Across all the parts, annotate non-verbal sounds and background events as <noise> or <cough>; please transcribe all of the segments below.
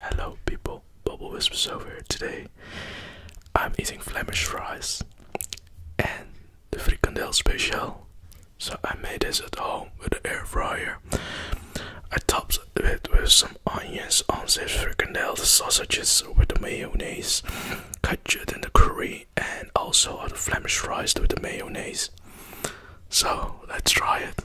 Hello people, Bubble Whispers over here today. I'm eating Flemish fries and the frikandel special. So I made this at home with an air fryer. I topped it with some onions on this frikandel, sausages with the mayonnaise, ketchup and the curry and also on the Flemish fries with the mayonnaise. So let's try it.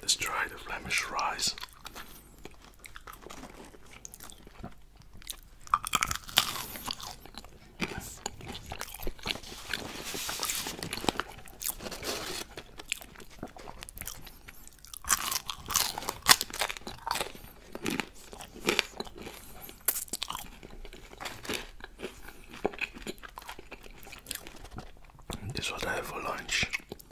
Let's try the Flemish rice. This is what I have for lunch.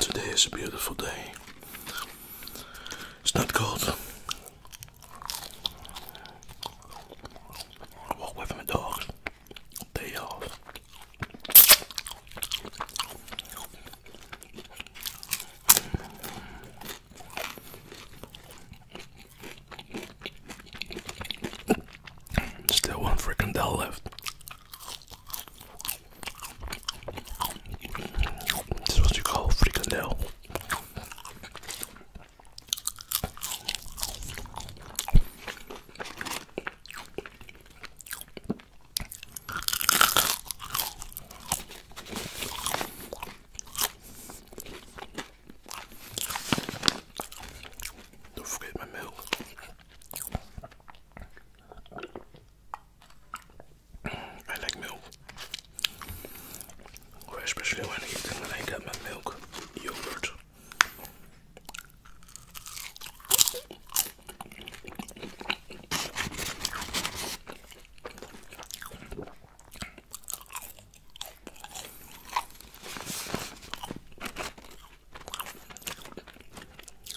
Today is a beautiful day. It's not cold. walk away my dogs. Day off. Still one freaking doll left. This is what you call fricadelle do forget my milk. I like milk. especially when I eat them when I get my milk yogurt.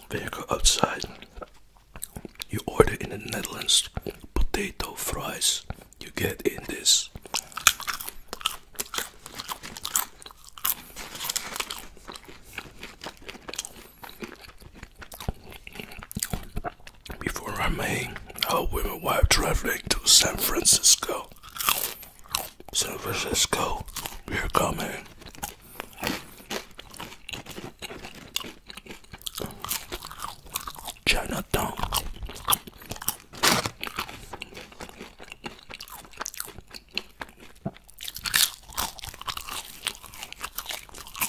Vehicle outside. You order in the Netherlands potato fries. You get in this. Before I i made a women while traveling to San Francisco. San Francisco, we're coming. Eh? Chinatown.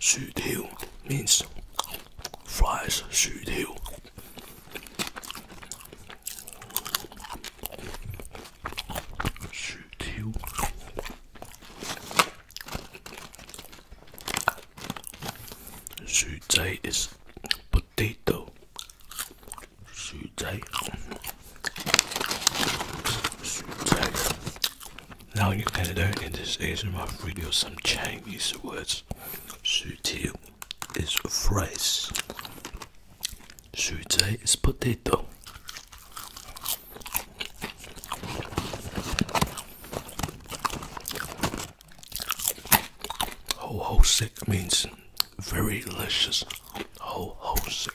Sweet hill means fries, sweet hill. Sweet hill. Sweet day potato. Now you can learn in this ASMR video some Chinese words rice. is of rice. Sute is potato. Ho ho sick means very delicious. Ho ho sick.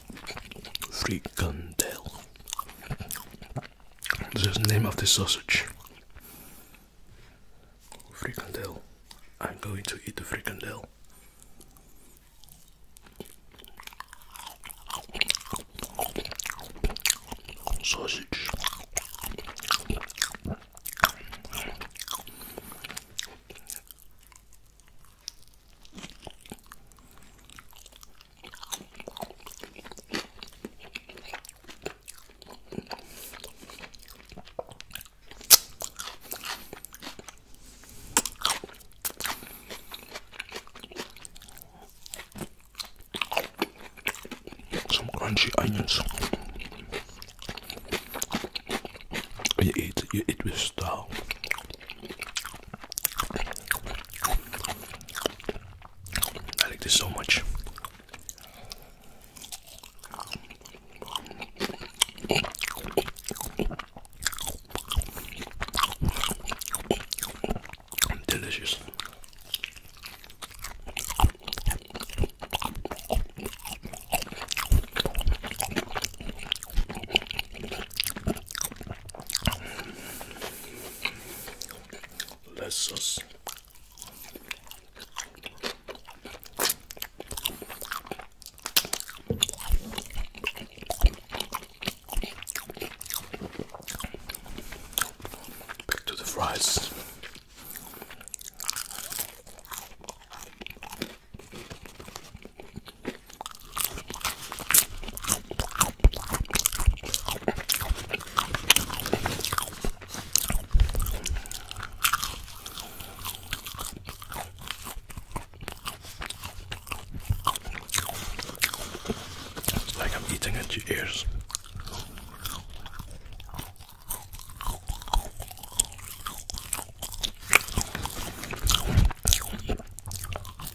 Frikandel. This is the name of the sausage. Frikandel. I'm going to eat the frikandel. Sausage. Some crunchy onions. You eat, you eat with style. I like this so much. Delicious less sauce. Back to the fries. It's like I'm eating at your ears.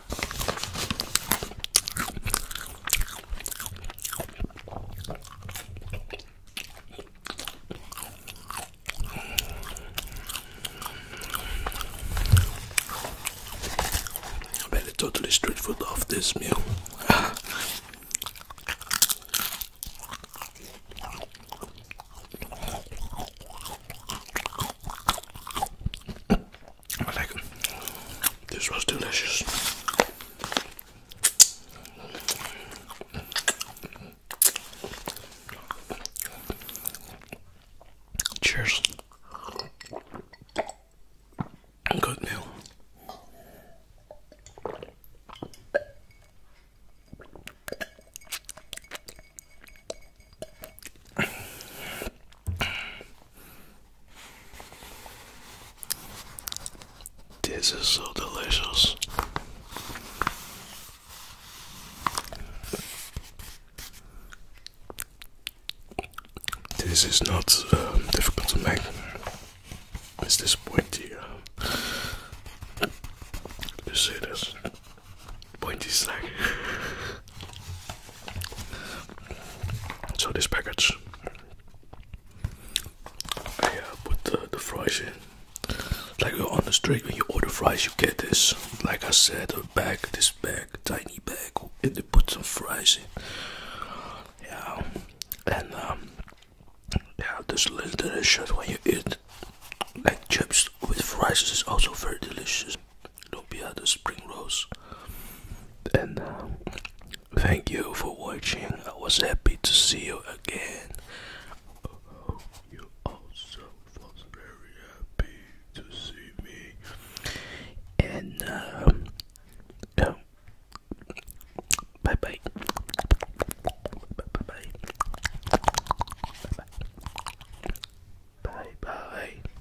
I made it totally street food off this meal. <laughs> I like this was delicious. Cheers. Good meal. This is so delicious. This is not um, difficult to make. It's this pointy. Uh, you see this pointy snack. <laughs> So this package, I uh, put the, the fries in. Like on the street, when you order fries, you get this. Like I said, a bag, this bag, tiny bag, and they put some fries in. Yeah, and um, yeah, this little delicious when you eat. Like chips with fries is also very delicious lumpia, the spring rolls. And uh, thank you for watching. I was happy to see you again. I hope you also was very happy to see me. And uh, um, bye bye. Bye bye. Bye bye. Bye bye.